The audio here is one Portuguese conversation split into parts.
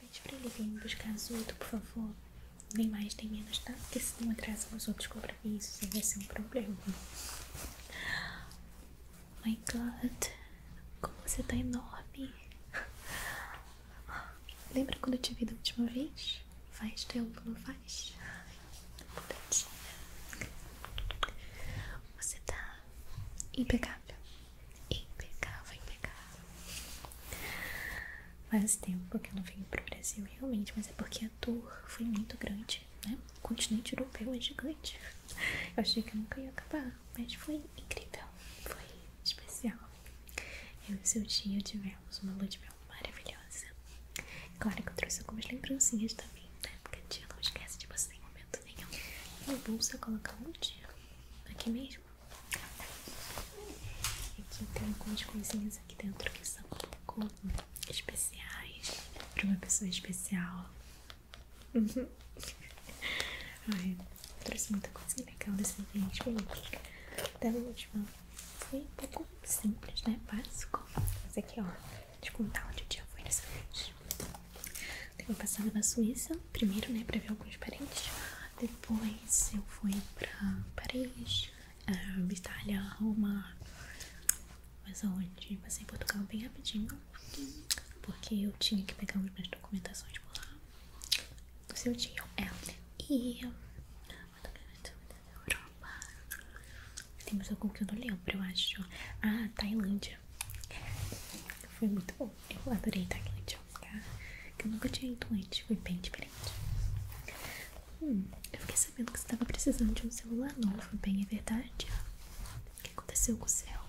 Pede pra ele vir buscar as oito, por favor. Nem mais, nem menos, tá? Porque se não atrás os outros compromissos, aí vai ser um problema. Oh my God, como você tá enorme. Lembra quando eu te vi da última vez? Faz tempo, não faz? Você tá impecável. Impecável, impecável. Faz tempo que eu não venho pro Brasil, realmente, mas é porque a tour foi muito grande, né? O continente europeu é gigante. Eu achei que nunca ia acabar, mas foi incrível, foi especial. Eu e seu tio tivemos uma lua de mel maravilhosa. Claro que eu trouxe algumas lembrancinhas também, né? Porque a não esquece de você em momento nenhum. Minha é bolsa colocar um dia aqui mesmo. Aqui tem algumas coisinhas aqui dentro que são um pouco especiais para uma pessoa especial. Ai, trouxe muita coisa legal né, é desse ambiente, Felipe. Até a última foi tá um pouco simples, né? Básico. Mas aqui, ó, de contar onde o dia foi nessa noite. Eu passava na Suíça, primeiro, né, pra ver alguns parentes. Depois eu fui pra Paris, uh, Itália, Roma. Mas onde? Passei em Portugal bem rapidinho, porque eu tinha que pegar algumas documentações por lá. Do seu dia, é. E. Europa. Tem mais algum que eu não lembro, eu acho. Ah, Tailândia. Foi muito bom. Eu adorei estar aqui no Tchomká. Que eu nunca tinha ido antes. Foi bem diferente. Hum, eu fiquei sabendo que você estava precisando de um celular novo. Bem, é verdade. O que aconteceu com o céu?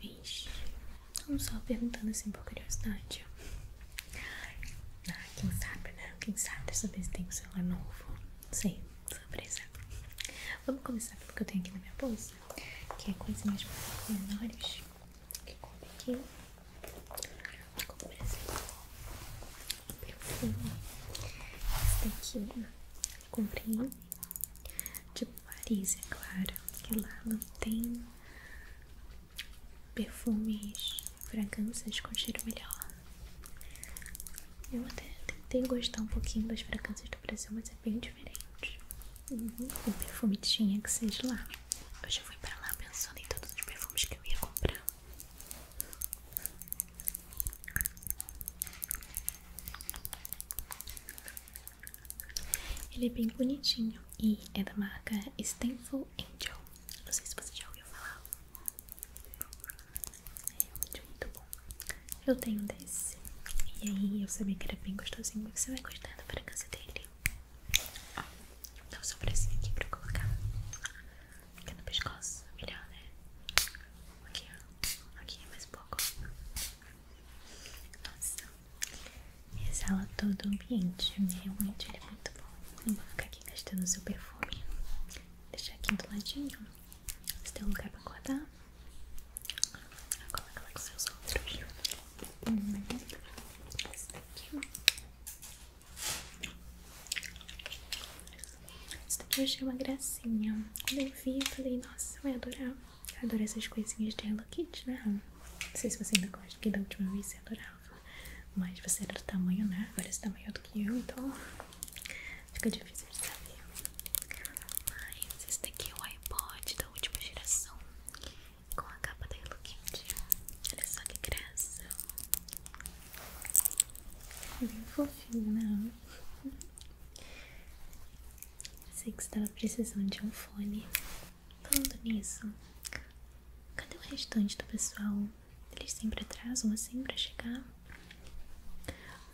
Vixe. Não só perguntando assim por curiosidade. Ah, quem sabe, né? Quem sabe dessa vez tem um celular novo. Não sei. Surpresa. Vamos começar pelo que eu tenho aqui na minha bolsa? que é mais menores que comprei, aqui como por exemplo um perfume esse daqui eu comprei tipo Paris, é claro que lá não tem perfumes, fragrâncias com cheiro melhor eu até tentei gostar um pouquinho das fragrâncias do Brasil, mas é bem diferente o perfumetinho que seja lá. eu já fui pra lá pensando em todos os perfumes que eu ia comprar. Ele é bem bonitinho e é da marca Stanford Angel. Não sei se você já ouviu falar. É muito, muito bom. Eu tenho desse. E aí eu sabia que era bem gostosinho. Você vai gostar da fragrância dele. Ó, dá o seu aqui pra colocar. Aqui no pescoço, melhor, né? Aqui, ó. Aqui é mais um pouco. Nossa. Exala todo o ambiente. Realmente ele é muito bom. Não vou ficar aqui gastando o seu perfume. Deixar aqui do ladinho. Você tem um lugar pra acordar? Acorda com seus outros. Hum, esse daqui. Esse daqui eu achei uma gracinha. Quando eu vi, falei, nossa, eu ia adorar. adoro essas coisinhas de Hello Kitty, né? Não sei se você ainda gosta, que da última vez você adorava. Mas você era do tamanho, né? Agora esse tamanho é do que eu, então Fica difícil de saber. Mas esse daqui é o iPod da última geração. Com a capa da Hello Kitty. Olha só que graça. Bem é fofinho, né? Sei que você estava precisando de um fone. Falando nisso, cadê o restante do pessoal? Eles sempre atrasam assim pra chegar?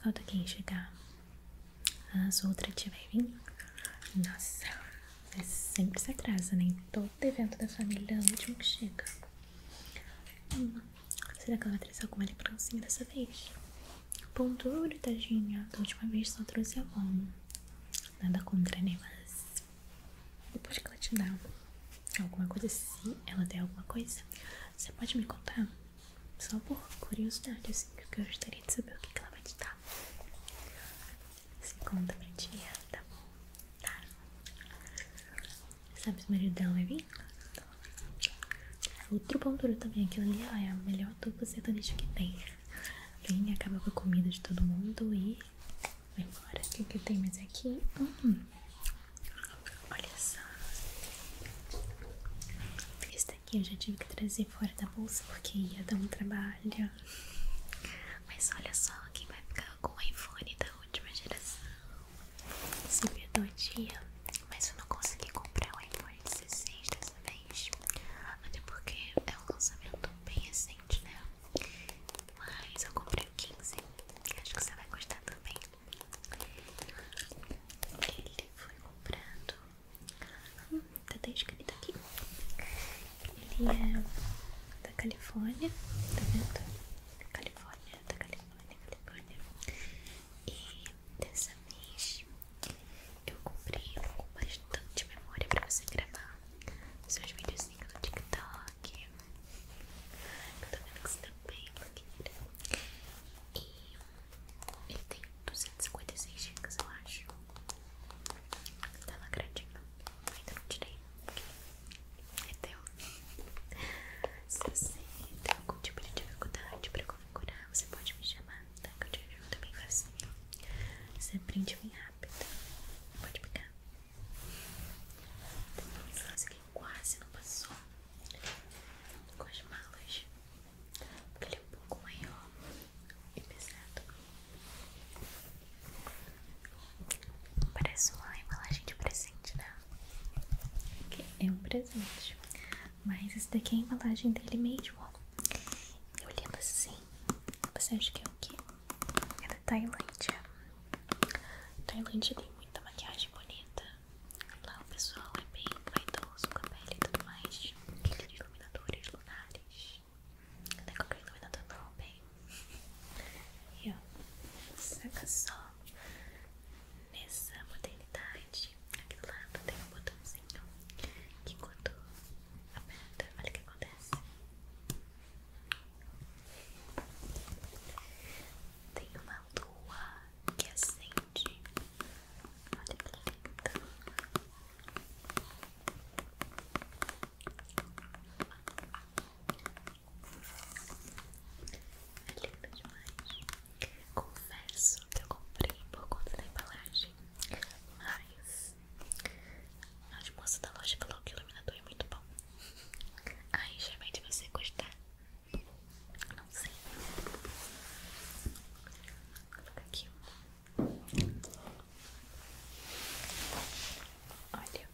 Falta quem chegar? As outras tiverem. Nossa, você é sempre se atrasa, né? todo evento da família é o último que chega. Hum, será que ela vai alguma lembrancinha dessa vez? ponto duro, tadinha. Da última vez só trouxe a mão. Nada contra, né? Mas depois que ela te dá alguma coisa, se ela der alguma coisa, você pode me contar? Só por curiosidade, assim, porque eu gostaria de saber o que, ela vai te dar. Você conta pra tá bom? Tá. Sabe se o marido dela vai vir? Outro pão duro também, aquilo ali ó, é a melhor dupla sertaneja que tem. Vem, acaba com a comida de todo mundo e vai embora. O que, que tem mais aqui? Hum, hum. Olha só. Esse aqui, eu já tive que trazer fora da bolsa porque ia dar um trabalho. Mas olha só, quem vai ficar com o iPhone da última geração? Se perdoe dia, mas eu não consegui comprar o iPhone 16 dessa vez. Até porque é um lançamento bem recente, né? Mas eu comprei o 15. Acho que você vai gostar também. Ele foi comprado tá até escrito aqui. Ele é da Califórnia, tá vendo? Califórnia, da Califórnia, Califórnia. E dessa vez eu comprei um com bastante memória pra você gravar seus videozinhos no TikTok. Eu tô vendo que você tá bem, E ele tem 256 gigas, eu acho. Tá lacradinho. Ainda não tirei. É teu. Se você tem algum tipo de dificuldade pra configurar, você pode me chamar, tá? Que eu te ajudo bem facinho. Você aprende bem rápido. Pode pegar. Isso aqui quase não passou com as malas, porque ele é um pouco maior e pesado. Parece uma embalagem de presente, né? É um presente, mas esse daqui é a embalagem dele mesmo. Eu lembro assim. Você acha que é o quê? É da Tailândia. Tailândia tem muita maquiagem bonita. Lá o pessoal é bem vaidoso com a pele e tudo mais. Aqueles iluminadores lunares. Não é qualquer iluminador, não, bem. E ó, saca só. Nessa modernidade, aqui do lado tem um botãozinho que quando aperta, olha o que acontece. Tem uma lua que assim nude. Olha que lindo. É lindo demais. Confesso que eu comprei por conta da embalagem, mas a moça da loja falou que o iluminador é muito bom. Aí já vai de você gostar. Não sei. Vou aqui. Olha.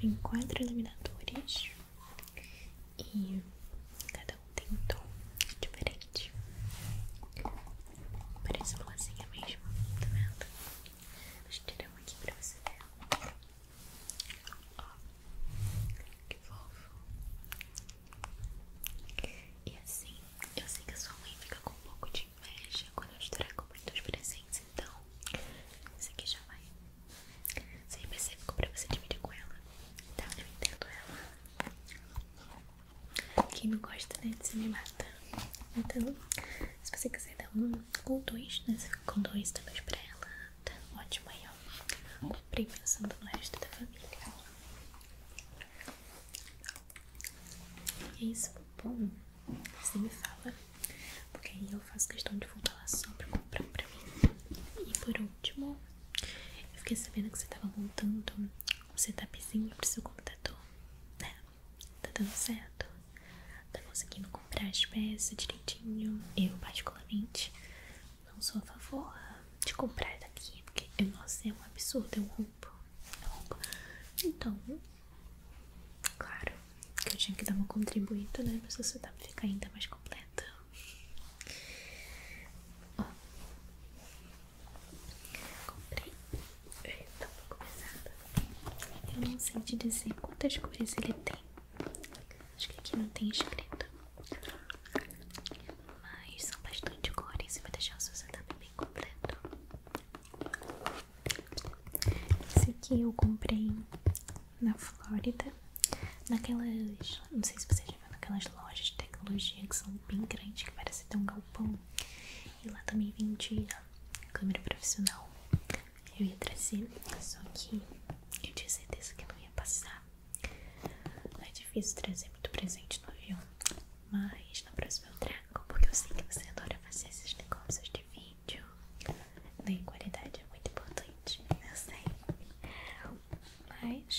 Vem quatro iluminadores. E cada um tem um tom diferente. Parece florzinha assim, é mesmo, tá vendo? tirar uma aqui pra você ver. Ó, que fofo. E assim, eu sei que a sua mãe fica com um pouco de inveja quando eu te com muitos presentes, então esse aqui já vai sempre é específico pra você dividir com ela, então Eu entendo ela. Quem não gosta, né, de se me mata. Tá? Então, se você quiser dar um ou dois, né, você fica com dois, também pra ela. Tá ótimo aí, ó. Comprei pensando no resto da família. E é isso, bom. Você me fala. Porque aí eu faço questão de voltar lá só para comprar pra mim. E por último, eu fiquei sabendo que você tava montando um setupzinho tá pro seu computador. Né? Tá dando certo? tá conseguindo comprar as peças direitinho. Eu, particularmente, não sou a favor de comprar daqui, porque eu, nossa, é um absurdo, eu rompo, eu Então, claro que eu tinha que dar uma contribuída, né, pra sociedade ficar ainda mais completa. Ó, comprei. Tá um pouco pesada. Eu não sei te dizer quantas cores ele tem. Acho que aqui não tem escrito. Mas são bastante cores e vai deixar o seu setup bem completo. Esse aqui eu comprei na Flórida. Naquelas. Não sei se vocês já viu naquelas lojas de tecnologia que são bem grandes, que parece ter um galpão. E lá também vendia câmera profissional eu ia trazer, só que eu tinha certeza que não ia passar. É difícil trazer muito presente no avião, mas na próxima eu trago, porque eu sei que você adora fazer esses negócios de vídeo. Daí né? qualidade é muito importante, eu sei. Mas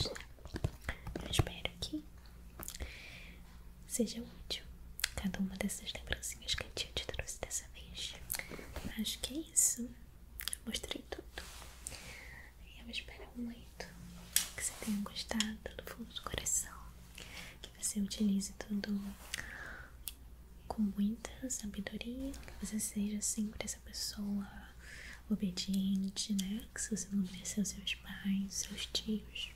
eu espero que seja útil cada uma dessas lembrancinhas que a tia te trouxe dessa vez. Acho que é isso. Eu mostrei tudo. E eu espero muito que você tenha gostado do fundo do coração. Que você utilize tudo com muita sabedoria. Que você seja sempre essa pessoa obediente, né? Que você não obedeceu seus pais, seus tios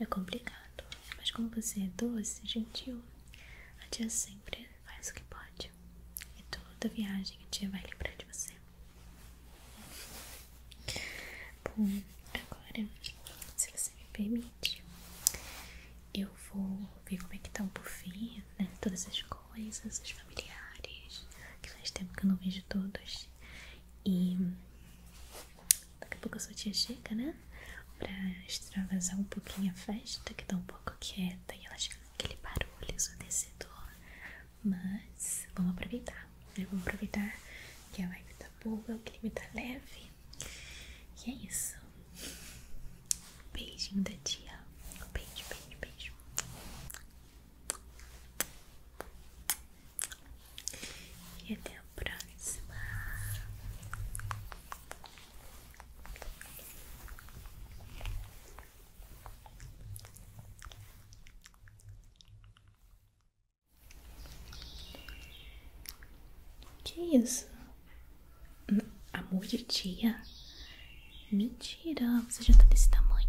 é complicado, mas como você é doce, gentil, a tia sempre faz o que pode e toda viagem a tia vai lembrar de você. Bom, agora, se você me permite, eu vou ver como é que tá o buffet, né? Todas as coisas, os familiares, que faz tempo que eu não vejo todos. E Daqui a pouco a sua tia chega, né? Pra extravasar um pouquinho a festa, que tá um pouco quieta e ela chega com aquele barulho ensurdecedor. Mas vamos aproveitar, né? Vamos aproveitar que a vibe tá boa, o clima tá leve. E é isso. Beijinho da tia. Beijo, beijo, beijo. E até próxima. Que isso? Amor de tia? Mentira, você já tá desse tamanho.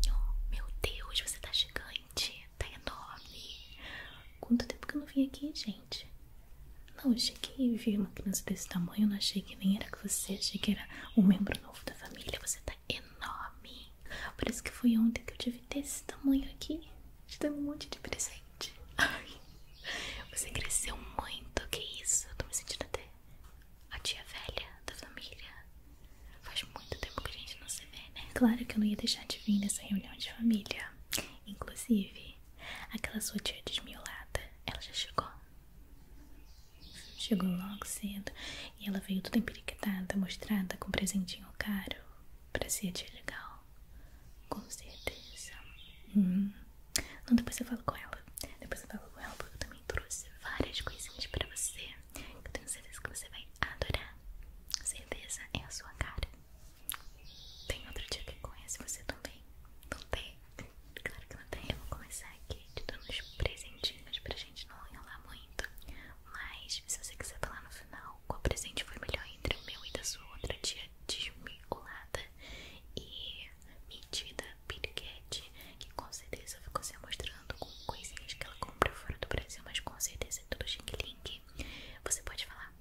Meu Deus, você tá gigante, tá enorme. Quanto tempo que eu não vim aqui, gente? Não, eu achei que vir uma criança desse tamanho, não achei que nem era que você, achei que era um membro novo da família. Você tá enorme. por isso que foi ontem que eu tive desse tamanho aqui. Te dando um monte de presente. Ai, você cresceu muito, que isso? Eu tô me sentindo até a tia velha da família. Faz muito tempo que a gente não se vê, né? Claro que eu não ia deixar de vir nessa reunião de família. Inclusive, Aquela sua tia desmiolada, ela já chegou. Chegou logo cedo e ela veio toda empiriquetada, mostrada com presentinho caro. Parecia tia legal. Com certeza. Hum. Não, depois eu falo com ela. Depois eu falo com ela porque eu também trouxe várias coisinhas pra você. Eu tenho certeza que você vai adorar. Certeza é a sua cara. Tem outro dia que conhece você também? Não tem? Claro que não tem. Eu vou começar aqui te dando uns presentinhos pra gente não enrolar muito. Mas se você quiser falar no final qual presente foi melhor entre o meu e da sua outra tia desmiolada e mentida Piriguete, que com certeza ficou se mostrando com coisinhas que ela compra fora do Brasil, mas com certeza é tudo xing-ling. Você pode falar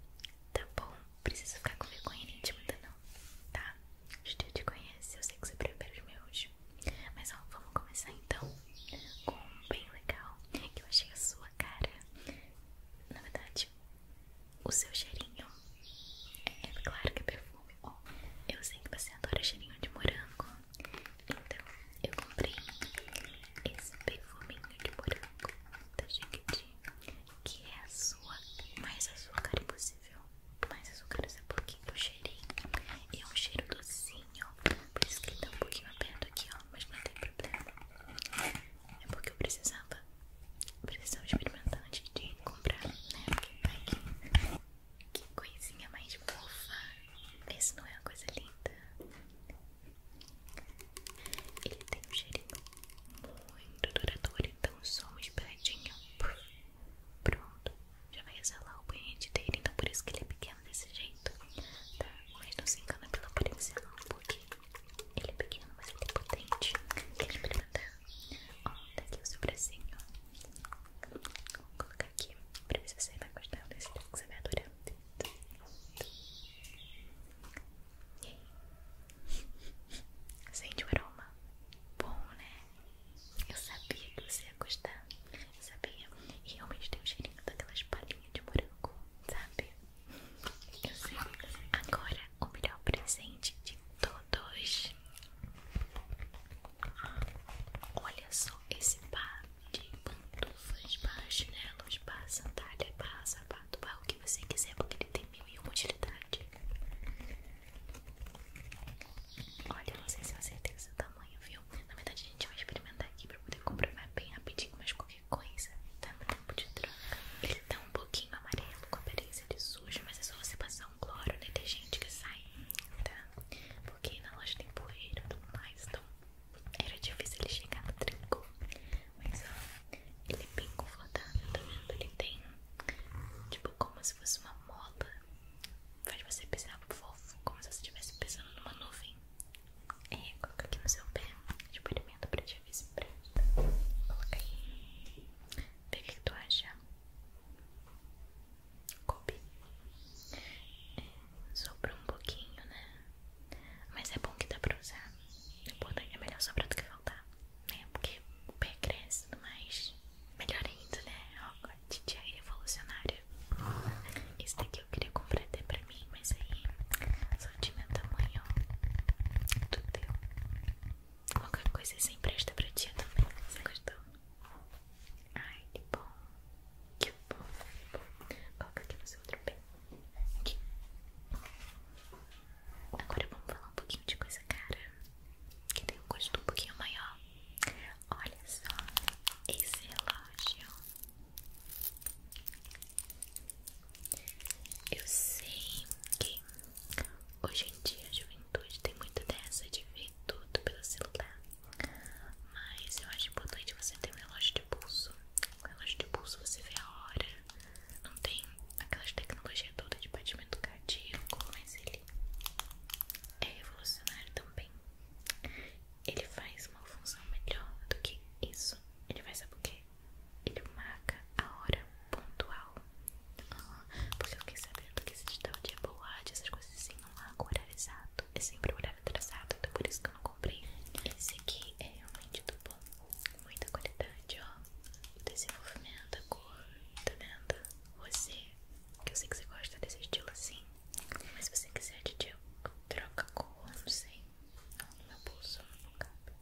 Tá bom, preciso ficar com vergonha íntima ainda não, tá? Acho que eu te conheço, eu sei que você prefere os meus Mas ó, vamos começar então com um bem legal Que eu achei a sua cara Na verdade, o seu cheirinho É, é claro que é perfume ó, Eu sei que você adora cheirinho de morango Então, eu comprei esse perfume bolinha de morango da que é a sua, mais açúcar impossível, mais açúcar esse pouquinho do cheirinho, e é um cheiro docinho, por isso que ele tá um pouquinho aberto aqui, ó, mas não tem problema, é porque eu precisava, precisava experimentar antes de comprar, né, porque tá aqui. Que coisinha mais bufa, Esse não é uma coisa linda? Ele tem um cheirinho muito duradouro, então só uma espiradinha. Pronto, já vai exalar o banhete dele, então por isso que ele é pequeno desse jeito. Tá? Mas não se engana pela aparência não, porque ele é pequeno, mas ele é potente. que brilha, tá? Ó, tá aqui o seu bracinho. Vou colocar aqui pra ver se você vai gostar desse que você vai adorar. Sente o aroma? Bom, né? Eu sabia que você ia gostar. sabia. E realmente tem o cheirinho daquelas palhinhas de morango, sabe? Eu sei. Agora, o melhor presente de todos. Olha só esse par de pantufas, chinelos, barra sandália, barra sapato, barra o que você quiser, porque ele tem mil e uma utilidade. Olha, não sei se eu acertei o seu tamanho, viu? Na verdade, a gente vai experimentar aqui pra poder comprar bem rapidinho, mas qualquer coisa tá no tempo de troca. Ele tá um pouquinho amarelo, com aparência de sujo, mas é só você passar um cloro, né? Tem gente que sai, tá? Porque na loja tem poeira e tudo mais, então era difícil ele chegar no trinco. Mas ó, ele é bem confortável, tá vendo? Ele tem tipo como se fosse uma mola. Faz você pisar fofo, como se você estivesse pisando numa nuvem. É, coloca aqui no seu pé. Experimenta pra te avisar. Coloca aí. Vê o que tu acha. Coube. É, sobrou um pouquinho, né? Mas é bom que dá pra usar. É, é melhor sobrar do que faltar, né? Porque o pé cresce, mas melhor ainda, né? Ó, Titi é revolucionário Esse daqui eu queria comprar até pra mim, mas aí só de meu tamanho do teu. Qualquer coisa assim presta pra tia também. Você gostou? Ai, que bom. Que bom, que bom. aqui no seu outro pé. Aqui. Agora vamos falar um pouquinho de coisa cara. Que tem um gosto um pouquinho maior. Olha só esse relógio. Eu sei que hoje em dia a juventude tem muito dessa de ver tudo pelo celular. Mas eu acho importante você ter um relógio de pulso com relógio tipo, de pulso você vê a hora. Não tem aquelas tecnologias toda de batimento cardíaco, mas ele é revolucionário também. Ele faz uma função melhor do que isso. Ele faz saber o quê? Ele marca a hora pontual. porque eu quis saber do que se tal de boate, essas coisas assim, não marca horário exato traçado, eu é sempre olhava traçado, então por isso que eu não comprei. Esse aqui é realmente do bom, muita qualidade, ó. O desenvolvimento, a cor, tá vendo? Você, que eu sei que você gosta desse estilo assim, mas se você quiser aditivo, troca a cor, não sei. Não, no meu bolso não cabe,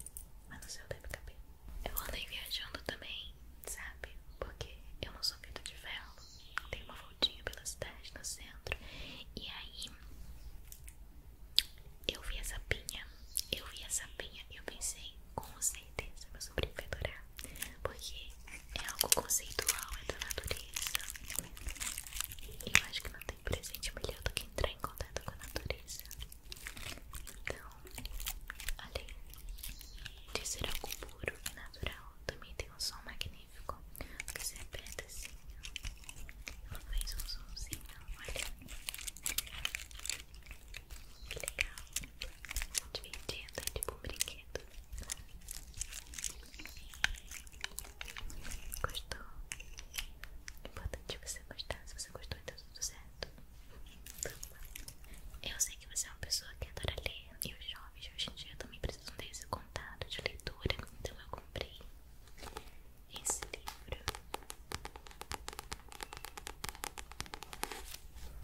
mas no seu deve caber. Eu andei viajando também, sabe? Porque eu não sou feita de não tenho uma voltinha pela cidade no centro e aí eu vi essa pinha, eu vi essa pinha e eu pensei, com certeza meu sobrinho vai adorar, porque é algo conceitual, é da natureza. E eu acho que não tem presente melhor do que entrar em contato com a natureza. Então, além de ser algo puro e natural, também tem um som magnífico magnífico. Porque você é preta assim, ó. Ela fez um somzinho, olha. Que legal. Divertido, é tipo um brinquedo. Gostou? É importante você gostar. Se você gostou, então tudo certo. Eu sei que você é uma pessoa que adora ler. E os jovens hoje em dia também precisam desse de leitura, então eu comprei esse livro.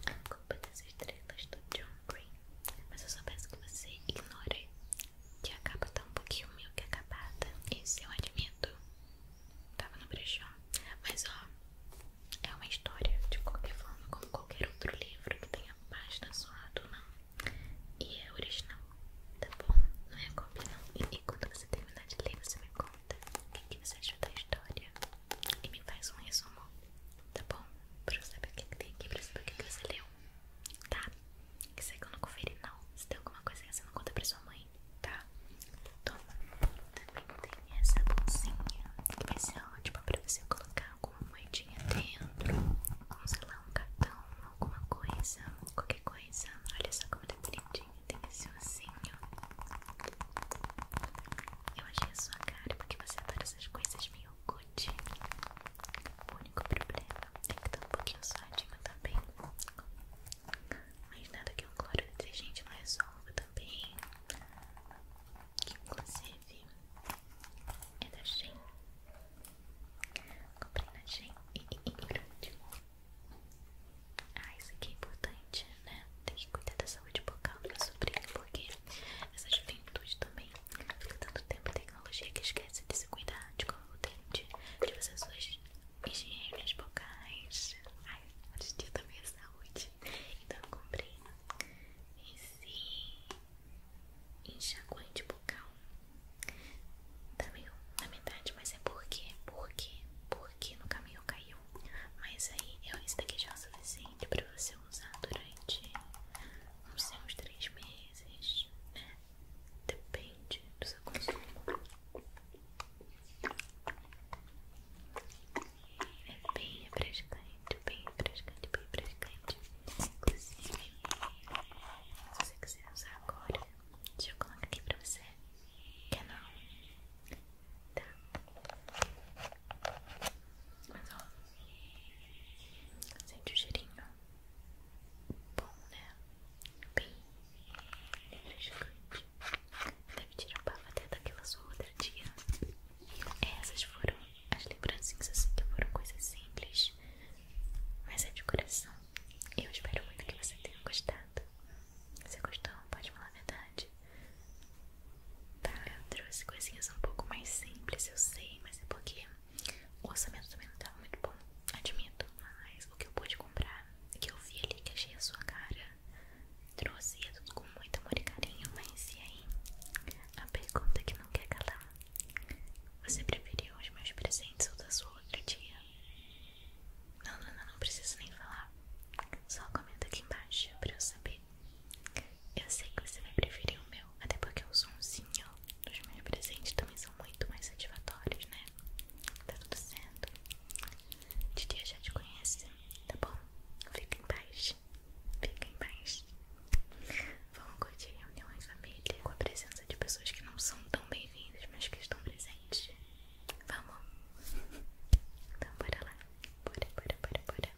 A Culpa das Estrelas do John Green. Mas eu só peço que você ignore que a capa tá um pouquinho meio que acabada. Esse eu admito. Tava no brechó. Mas ó, é uma história de qualquer forma, como qualquer outro livro que tenha página zoada não. E é original, tá bom? Não é cópia não. E quando você terminar de ler, você me conta o que, você achou da história e me faz um resumo, tá bom? Pra eu saber o que, tem aqui, pra eu saber o que, você leu, tá? Isso aí que eu não conferi não. Se tem alguma coisa que você não conta pra sua mãe, tá? Toma. Também tem essa bolsinha que vai ser ótima pra você colocar alguma moedinha dentro, com um cartão, alguma coisa, qualquer coisa. Olha só como tá bonitinho, tem esse ossinho. Eu achei a sua cara porque você adora essas coisas meio good. O único problema tem é que tá um pouquinho suadinho também. Mas nada que um cloro detergente não resolva é também. Que inclusive é da Shein. Comprei na Shein Ah, isso aqui é importante, né? Tem que cuidar da saúde bucal da meu sobrinho Porque essa juventude também Fica tanto tempo tecnologia que esquece de se cuidar De como o dente, de fazer suas higienes bocais Ai, hoje em dia também tá é saúde Então eu comprei sim enxaguante bucal tá meio na metade, mas é porque, porque, porque no caminho caiu. Mas aí, é isso daqui já é o suficiente pra você usar durante, não sei, uns três meses, né? Depende do seu consumo. É bem refrescante, bem refrescante, bem refrescante. Inclusive, se você quiser usar agora, deixa eu colocar aqui pra você. Quer não? Tá. Mas ó, sente o cheirinho. Bom, né? Bem refrescante. Deve tirar o bafo até daquela sua outra tia. Essas foram as lembrancinhas assim que foram coisas simples, mas é de coração. Eu espero muito que você tenha gostado. Se gostou, pode falar a verdade. Tá, eu trouxe coisinhas um pouco mais simples, eu sei, mas é porque o orçamento também não estava muito bom, admito. Mas o que eu pude comprar, o que eu vi ali, que achei a sua cara, trouxe tudo com muito amor e carinho, mas e aí? A pergunta que não quer calar: Você preferiu os meus presentes ou da sua outro dia? Não, não, não, não preciso nem falar. Só comenta aqui embaixo pra eu saber. Eu sei que você vai preferir o meu, até porque o somzinho dos meus presentes também são muito mais satisfatórios, né? Tá tudo certo. Titia já te conhece, tá bom? Fica embaixo fiquem Fica em paz. Vamos curtir reunião em família com a presença de pessoas que não são tão bem-vindas, mas que estão presentes. Vamos? Então, bora lá. Bora, bora, bora, bora.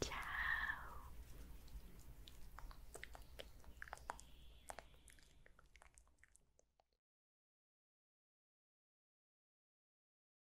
Tchau.